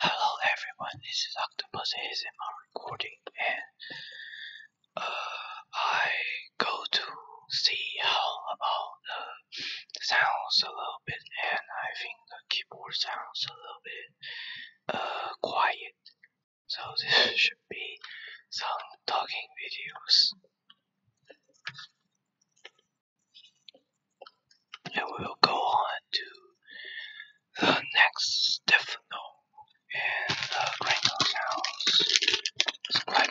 Hello everyone, this is Octopus ASMR recording and uh, I go to see how about the sounds a little bit and I think the keyboard sounds a little bit uh, quiet so this should be some talking videos and we will go on to the next Stefano in the Granger's house. Describe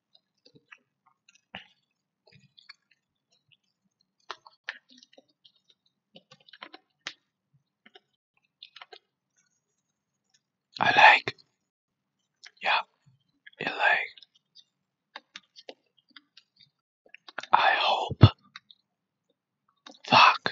I like. Yeah, I like. I hope. Fuck.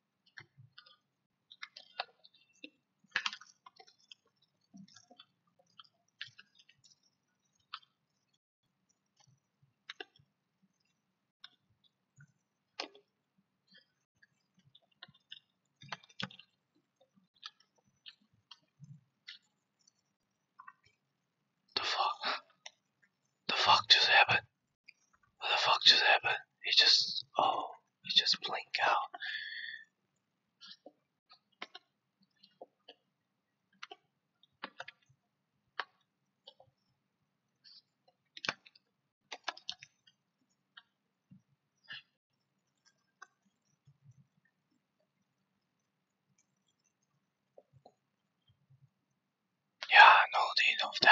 The fuck just happened? What the fuck just happened? He just, oh, he just blink out. Yeah, no need of that.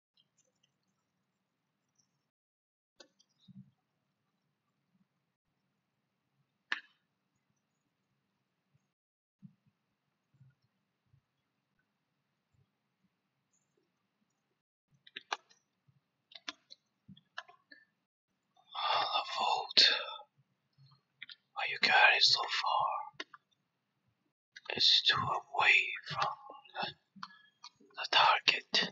i vote. you got so far? It's too away from the target.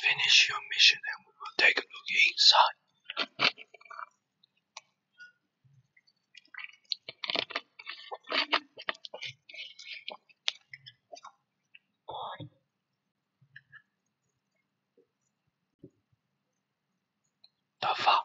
Finish your mission and we will take a look inside. The fuck?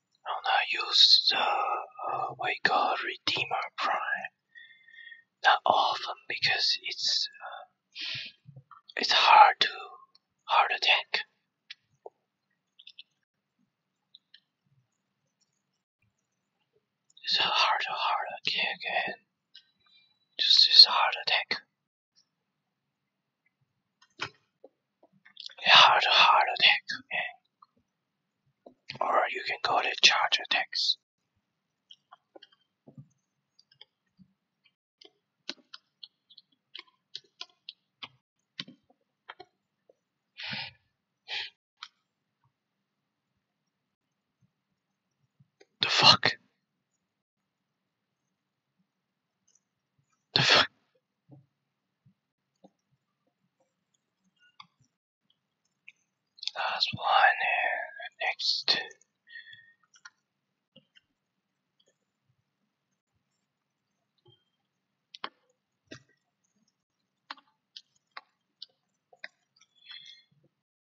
Rona use the Vega uh, Redeemer Prime. not often because it's uh, it's hard to heart attack. It's a hard hard attack and just this hard attack hard hard attack and or you can go to charge tax. the fuck the fuck Last one next.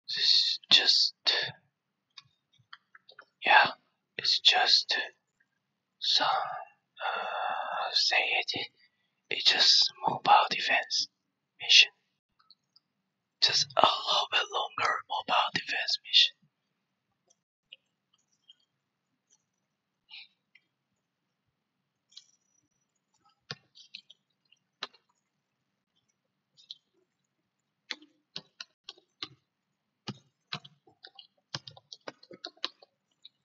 This just, yeah, it's just so, uh, say it, it's just mobile defense mission. Just a little bit longer mobile defense mission.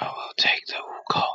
I will take the Wukong.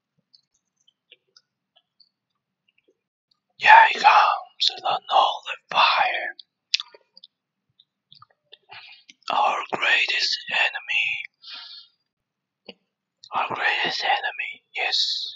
Yeah, he comes the a fire. Our greatest enemy. Our greatest enemy is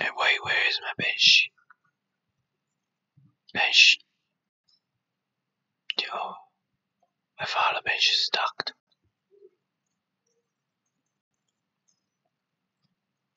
wait, where is my bench? Bench. Yo, my father bench is stuck.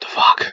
The fuck?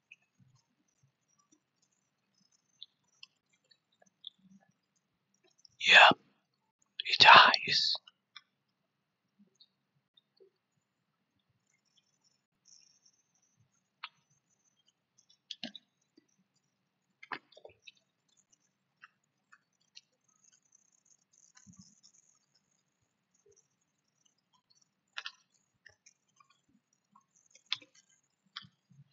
Yeah, it dies.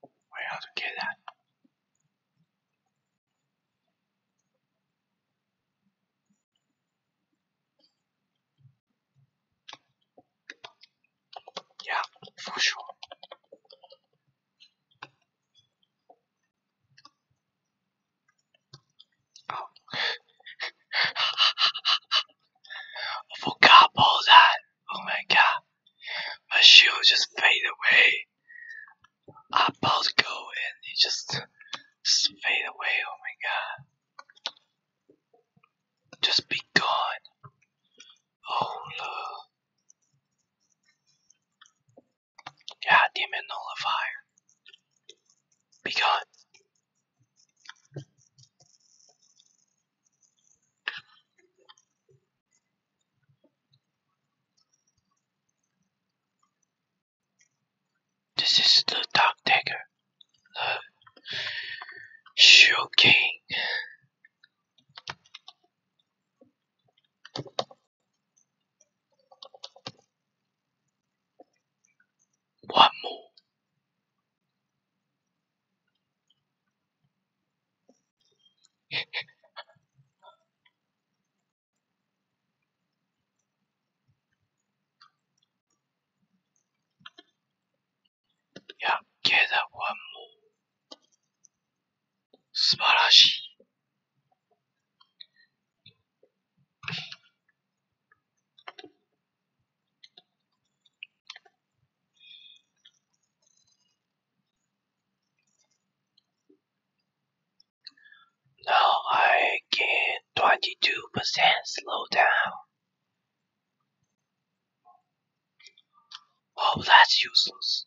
我要去 get that. Yeah, for sure. I forgot about that. Oh my god, my shield just fade away. I bought go and it just, fade away. Oh my god, just be gone. Oh look, god damn it, nullifier, be gone. This is the Dark Dagger, the Shoe King. One more. yeah, get that one more. 素晴らしい。Now I get 22% slowdown. Oh, that's useless.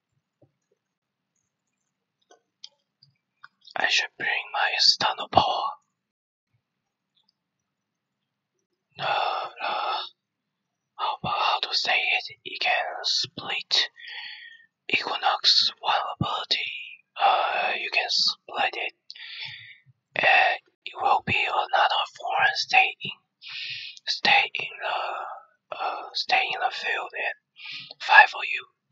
I should bring my external power. No, no. How about how to say it? It can split Equinox one ability. Uh, you can split it, and it will be another foreign stay in, stay in the, uh, uh stay in the field and fight for you.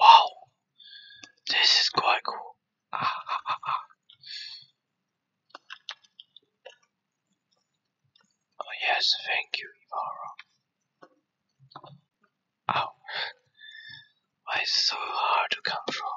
Wow, this is quite cool. Ah, ah, ah, ah. Oh yes, thank you, Ivara. Ow, why it's so hard to control?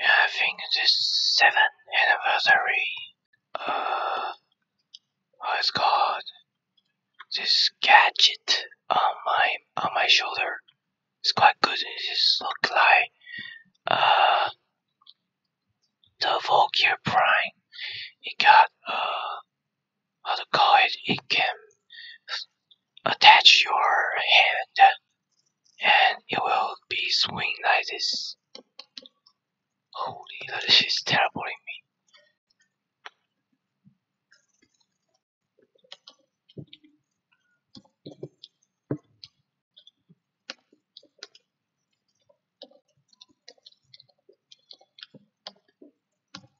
I think this seventh anniversary, uh, oh, it's this gadget on my on my shoulder. It's quite good. It just look like uh the Volgear Prime. It got uh what to call it, it can attach your hand and it will be swing like this. Holy, that is terrible in me.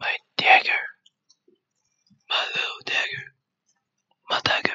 My dagger, my little dagger, my dagger.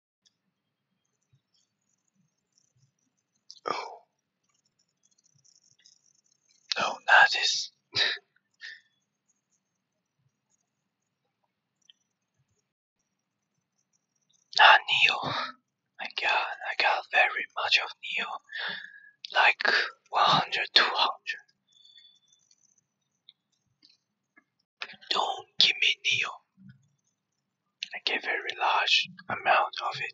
Oh. No, oh, not this. Ah, Neo. My god, I got very much of Neo. Like 100, 200. Don't give me Neo. I get a very large amount of it.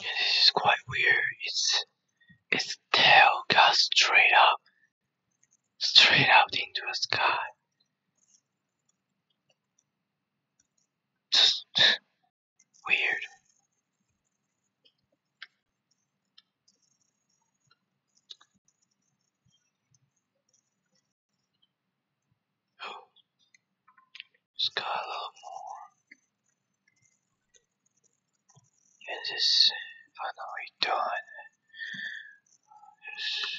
this is quite weird. It's its tail goes straight up, straight out into the sky. Just weird. just got a little more. And this finally done. Just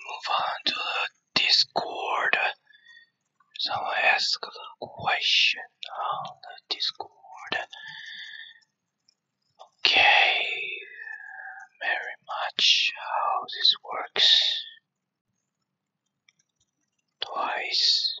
Move on to the Discord Someone asked a question on the Discord. Okay, very much how this works. Twice.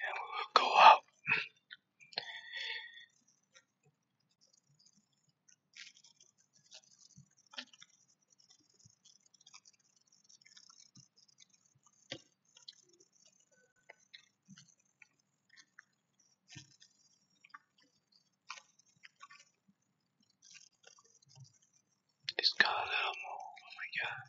And we will go out. It's got a little more. Oh my god.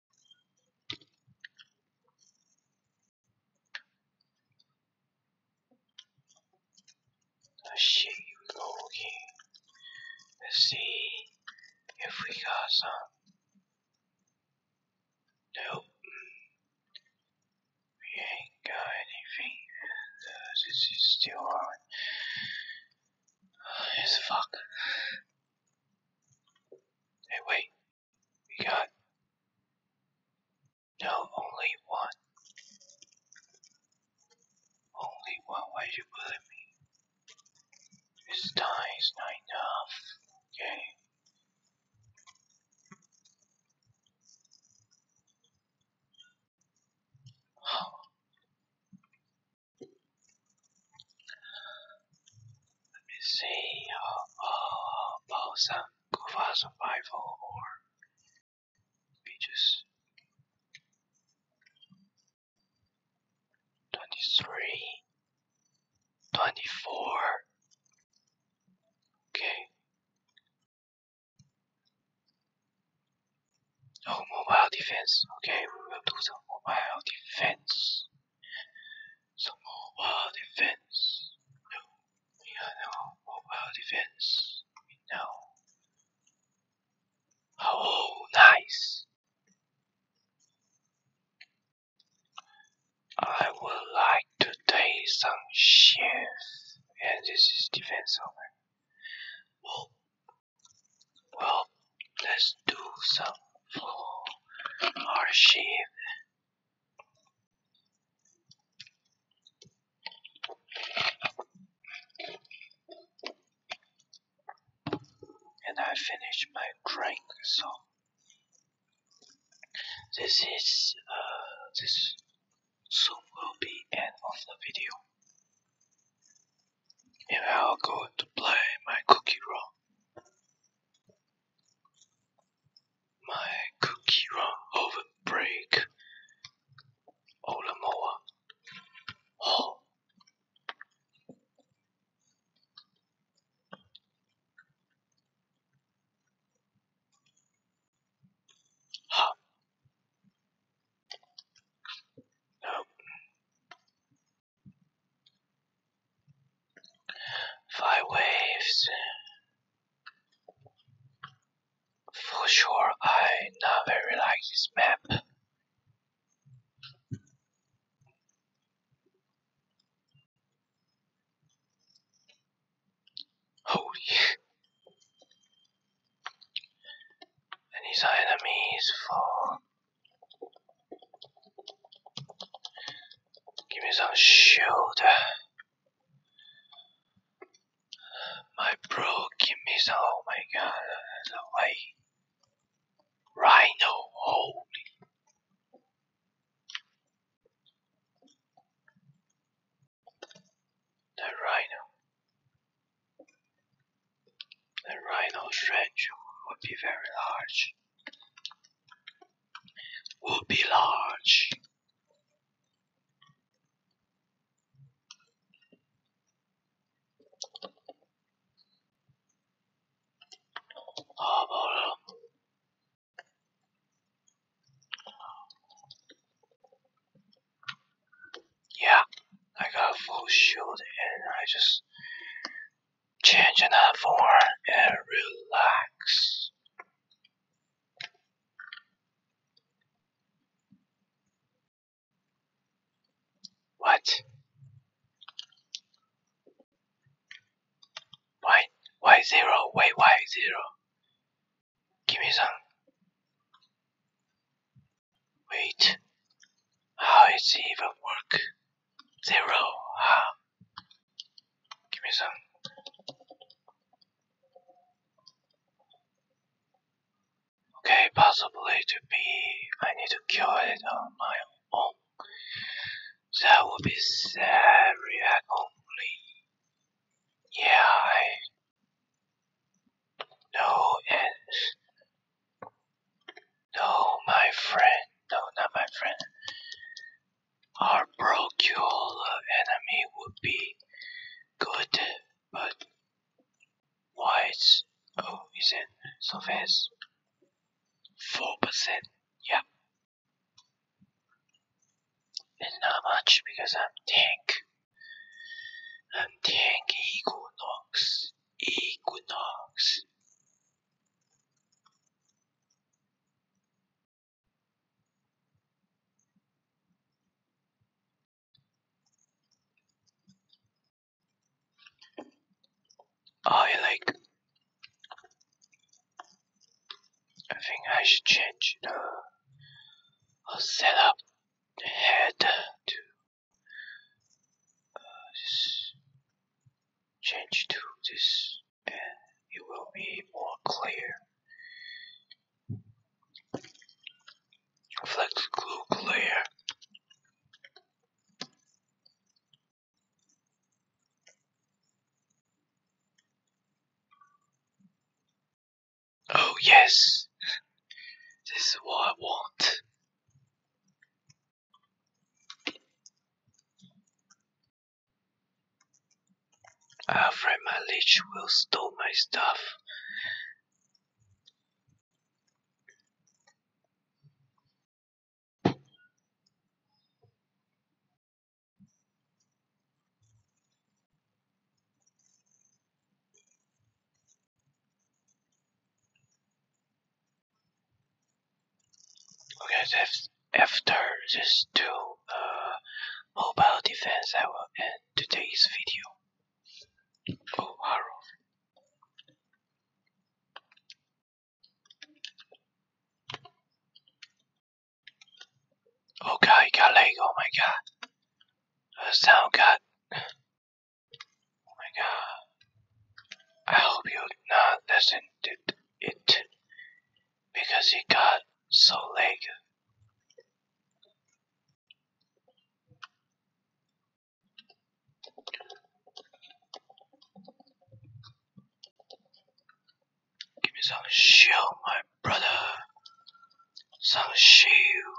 The sheep looking to see if we got some. Nope. We ain't got anything. And, this is still on. Uh, it's fuck. Hey, wait. We got. No, only one. Only one. Why you bully me? This time is not enough. Okay. Let me see. Oh, uh, oh, uh, oh, uh, some survival or beaches. 23, Okay. Oh, mobile defense. Okay, we will do some mobile defense. Some mobile defense. we have no mobile defense. We know. Oh, nice. I would like to take some shift. And this is defense over. well, let's do some floor archive. And I finish my drink, so this is uh, this soon will be end of the video. If I'll going to play my cookie run, my cookie run over break. Olamoa. Oh. Huh. Nope. Five waves. For sure, I never like this map. Holy. And these enemies for Give me some shield. My bro, give me some. Oh my god, the Rhino, holy. The rhino the rhino's range would be very large. Would be large. Oh, yeah, I got full shield and I just change another form and relax. What? Why? Why zero? Wait, why zero? Give me some. Wait. How is it even work? Zero. Huh? Give me some. Okay, possibly to be, I need to cure it on my own. That would be sad react Yeah, I know and no, my friend. No, not my friend. Our Brocula enemy would be good, but wise. Oh, is it so fast? Four percent. Yeah. And not much because I'm tank. I'm tank Equinox. Equinox. I oh, like. I think I should change uh, the i head to uh, change to this and it will be more clear. Flex glue clear. Oh yes, this is what I want. I'm ah, afraid my leech will steal my stuff. Okay, after these two mobile defense, I will end today's video. Oh, horror. Okay, oh, got leg, oh my god. Uh, sound cut. Oh my god. I hope you not listen to it because he got so late. Give me some shield, my brother. Some shield.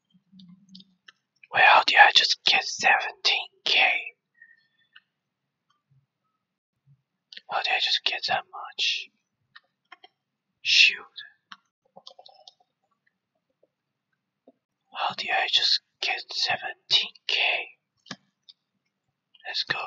Where well, did I just get 17k? How did I just get that much? Shoot. How did I just get 17k? Let's go.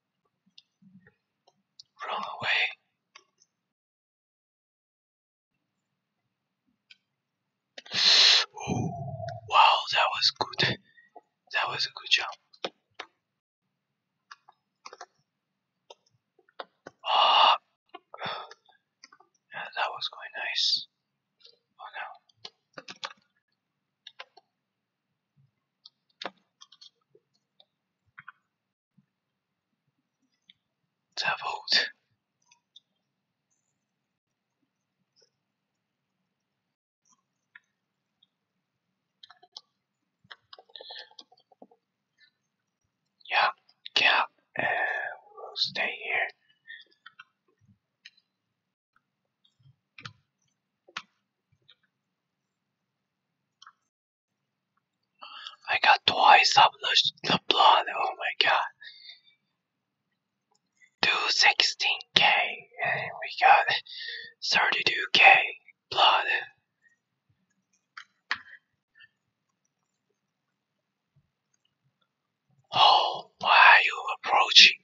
Run away. wow, that was good. That was a good jump. Ah, that was quite nice. Oh no. The vote. Yeah, and we'll stay here. I got twice of lost the blood, oh my god. 216k, and we got 32k blood. Oh, why are you approaching me?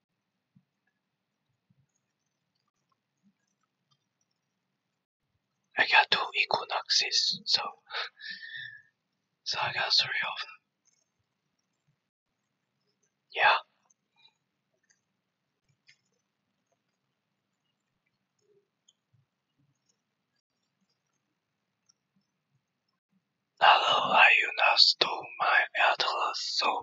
I got two equinoxes, so so I got three of them. Yeah. Hello, I you stole my atlas, so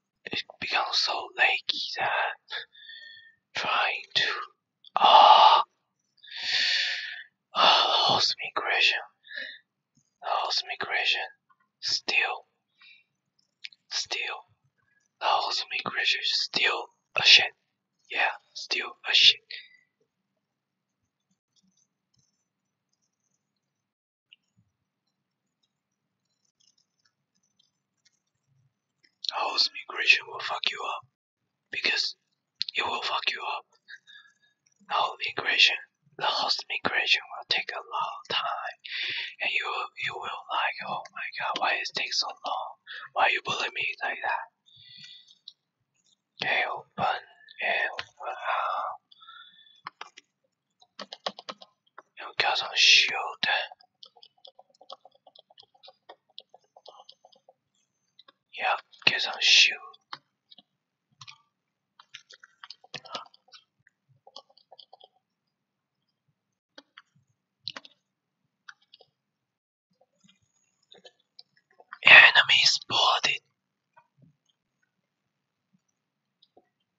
it becomes so laggy that trying to ah oh, ah, oh, host migration, the host migration, still, still, the host migration still a shit. Yeah, still a shit. Host migration will fuck you up because it will fuck you up. Host migration, the house migration will take a long time, and you will, you will like, oh my god, why it takes so long? Why you bully me like that? Okay, open and who goes shield. Yeah, goes shield. Enemy spotted.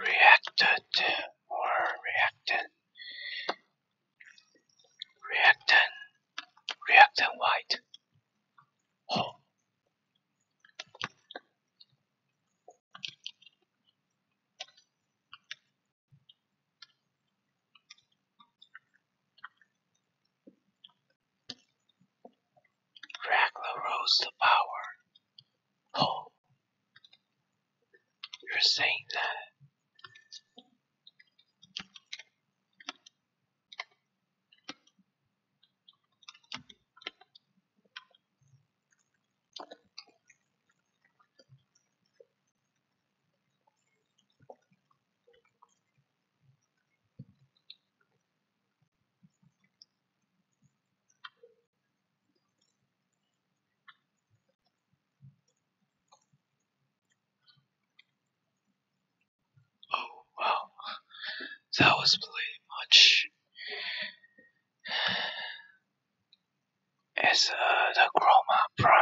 reacted or reactant reactant reactant white oh. Dracula rose to power. Oh, you're saying that? Oh, wow, that was pretty much as uh, the Chroma Prime.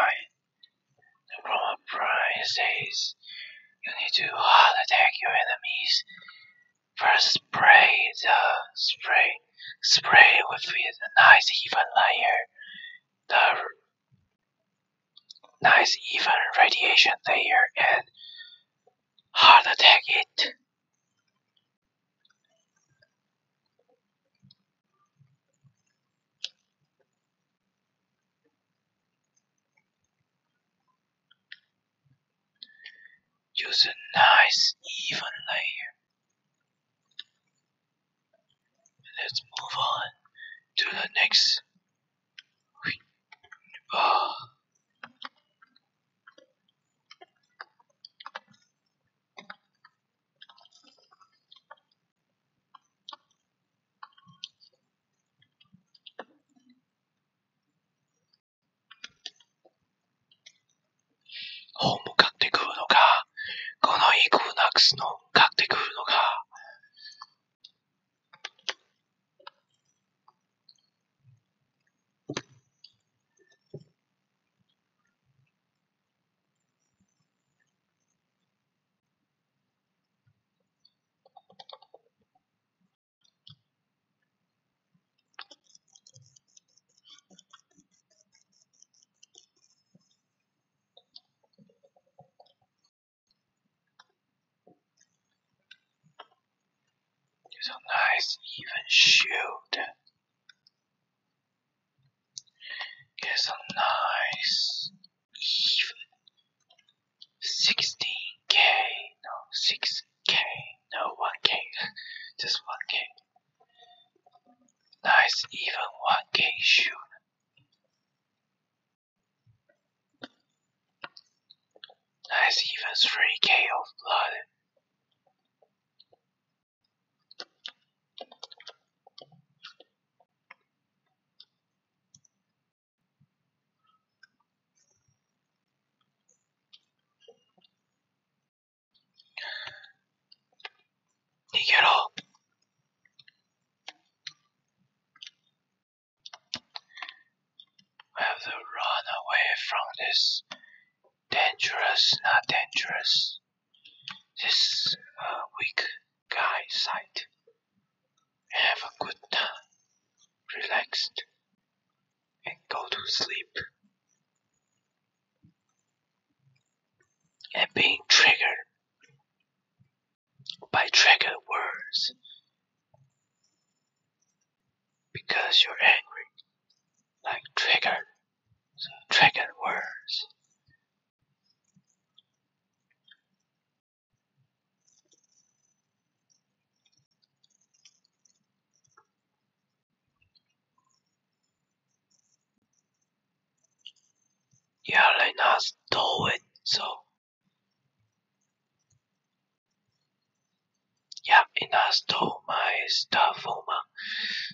The Chroma Prime says you need to hard attack your enemies First spray the spray spray with a nice even layer. The nice even radiation layer and hard attack it. Use a nice even layer. Let's move on to the next. Oh. 本も買ってくるのか、このインクナックスのを買ってくるのか。Use a nice even shoot. It's a nice even 16k, no, 6k, no, 1k, just 1k. Nice, even 1k shoot. Nice, even 3k of blood. Dígelo. We have to run away from this dangerous, not dangerous, this uh, weak guy sight. Have a good time, relaxed and go to sleep. And being triggered by trigger words because you're angry, like triggered, so triggered words. Yeah, let I stole it. So, yeah, it has stole my stuff, Oma.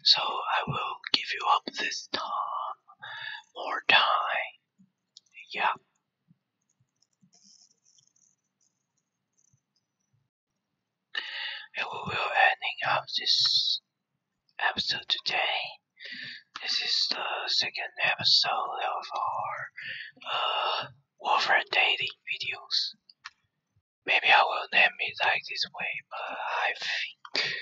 So I will give you up this time, more time. Yeah we will ending up this episode today. This is the second episode of our uh, Warfare Daily videos. Maybe I will name it like this way, but I think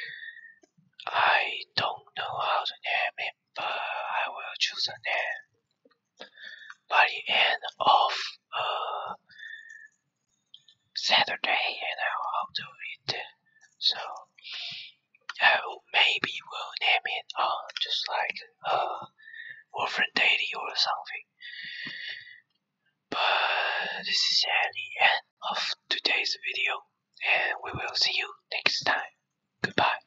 I don't know how to name it, but I will choose a name by the end of uh, Saturday, and I'll do it. So uh, maybe we'll name it uh, just like uh, Warframe Daily or something. But this is the end of today's video, and we will see you next time. Goodbye.